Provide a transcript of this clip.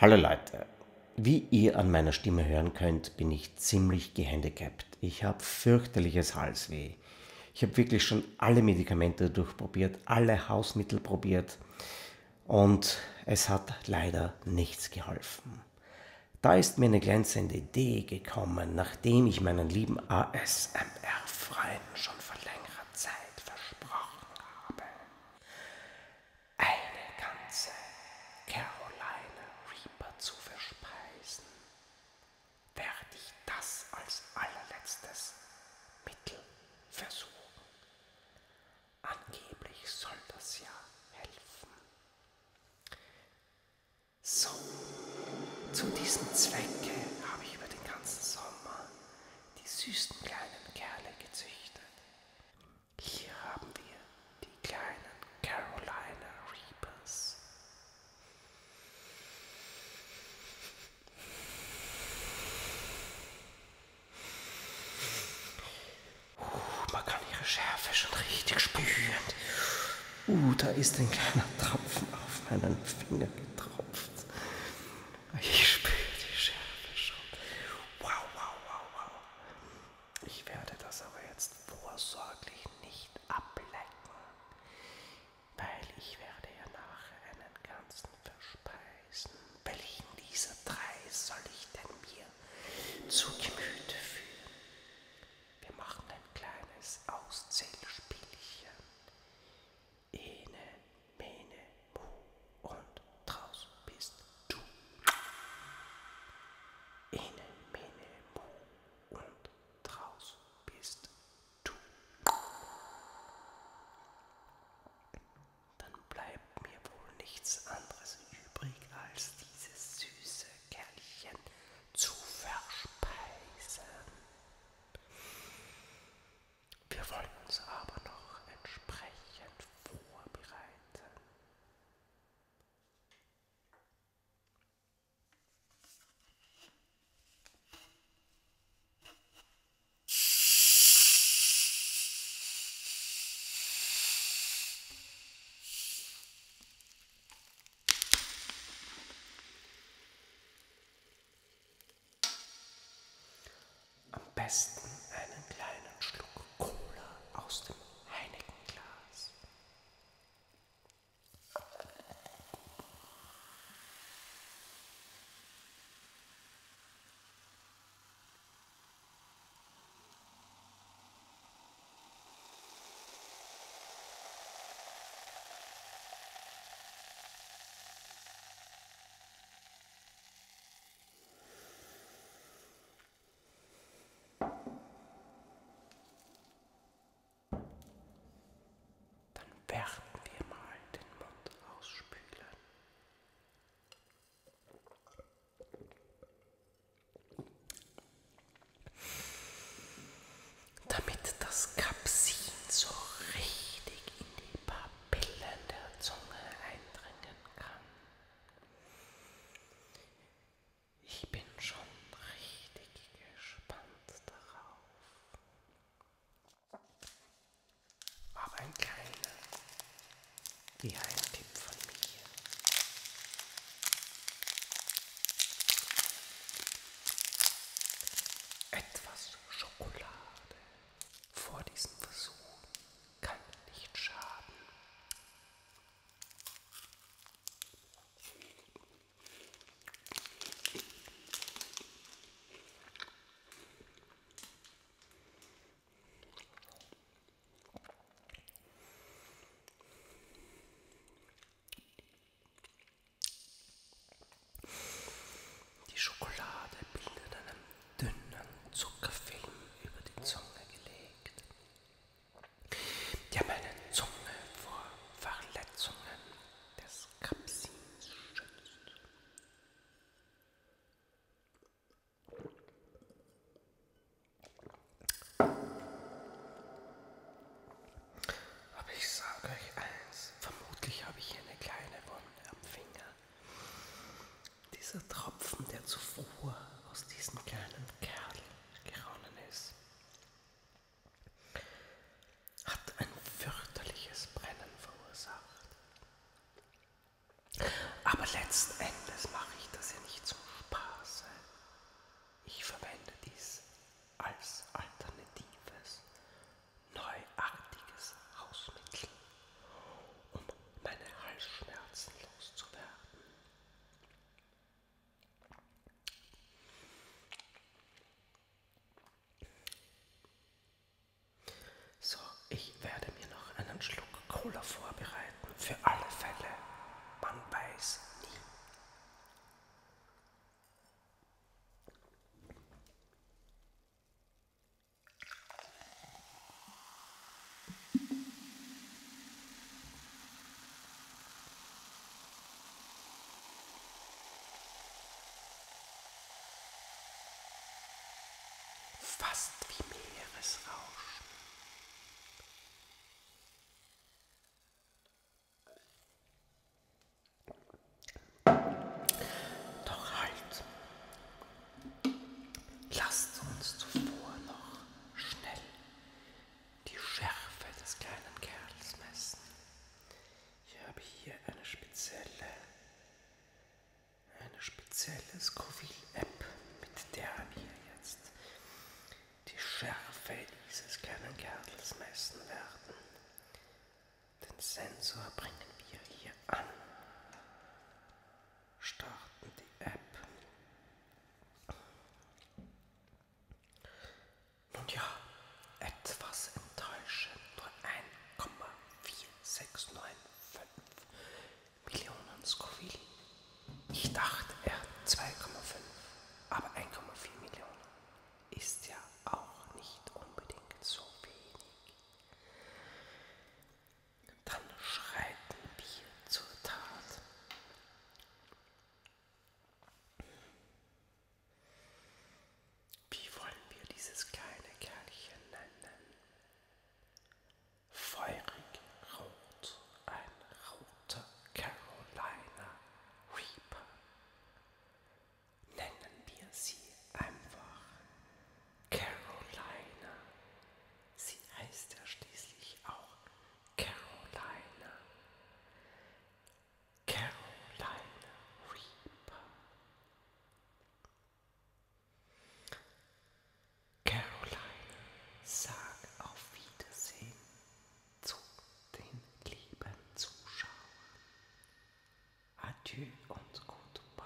Hallo Leute, wie ihr an meiner Stimme hören könnt, bin ich ziemlich gehandicapt. Ich habe fürchterliches Halsweh. Ich habe wirklich schon alle Medikamente durchprobiert, alle Hausmittel probiert und es hat leider nichts geholfen. Da ist mir eine glänzende Idee gekommen, nachdem ich meinen lieben ASMR-Freund schon vor längerer langer Zeit versprochen habe. Eine ganze Carolina Reaper zu verspeisen, werde ich das als allerletztes Mittel versuchen. Angeblich soll das ja helfen. So, zu diesem Zwecke habe ich über den ganzen Sommer Sommer die süßen kleinen Kerle gezüchtet. Hier haben wir die kleinen Carolina Reapers. Uh, man kann ihre Schärfe schon richtig spüren. Uh, da ist ein kleiner Tropfen auf meinen Finger getropft jetzt. Ich spüre die Schärfe schon. Wow, wow, wow, wow. Ich werde das aber jetzt vorsorglich nicht ablecken, weil ich werde ja nachher einen ganzen verspeisen. Welchen dieser drei soll ich denn mir zu Gemüte führen? Wir machen ein kleines Auszählspielchen. Ene, Mene, Mu und draus bist du. Ene, Mene, Mu und draus bist du. Dann bleibt mir wohl nichts anderes übrig, als dieses süße Kerlchen zu verspeisen. Wir wollen uns aber noch entsprechend vorbereiten. Am besten einen kleinen Schluck Cola aus dem Heineken-Glas. Dann werden wir mal den Mund ausspülen. Damit das Kapsin so richtig in die Papillen der Zunge eindringen kann. Ich bin schon richtig gespannt darauf. Aber ein kleiner Geheimtipp von mir. Etwas Schokolade. Vor diesem Versuch kann nicht schaden. Die Schokolade bildet einen dünnen Zuckerfilm über die Zunge gelegt, der meine Zunge vor Verletzungen des Kapsins schützt. Aber ich sage euch eins, vermutlich habe ich hier eine kleine Wunde am Finger. Dieser Tropfen, der zuvor aus diesem kleinen Kerl geronnen ist, hat ein fürchterliches Brennen verursacht. Aber letzten Endes mache ich das ja nicht zum Spaß. Ich verwende dies als alternatives, neuartiges Hausmittel, um meine Halsschmerzen loszuwerden. So, ich werde mir noch einen Schluck Cola vorbereiten, für alle Fälle. Man weiß nie fast wie Meeresrauschen. Doch halt! Lasst uns zuvor noch schnell die Schärfe des kleinen Kerls messen. Ich habe hier eine spezielle, eine spezielle Scoville-App, mit der wir jetzt die Schärfe dieses kleinen Kerls messen werden. Den Sensor bringen wir hier an. Starten die App. Nun ja, etwas enttäuschend, nur 1,4695 Millionen Scoville. Ich dachte, er hat 2,5, aber 1,4 Millionen ist ja auch nicht unbedingt so wenig. Dann schreiten wir zur Tat. Wie wollen wir dieses kleine Kerlchen nennen? feurig rot, ein roter Carolina Reaper. Nennen wir sie einfach Carolina. Sie heißt ja schließlich auch Carolina. Carolina Reaper. Caroline, sag auf Wiedersehen zu den lieben Zuschauern. Adieu und goodbye.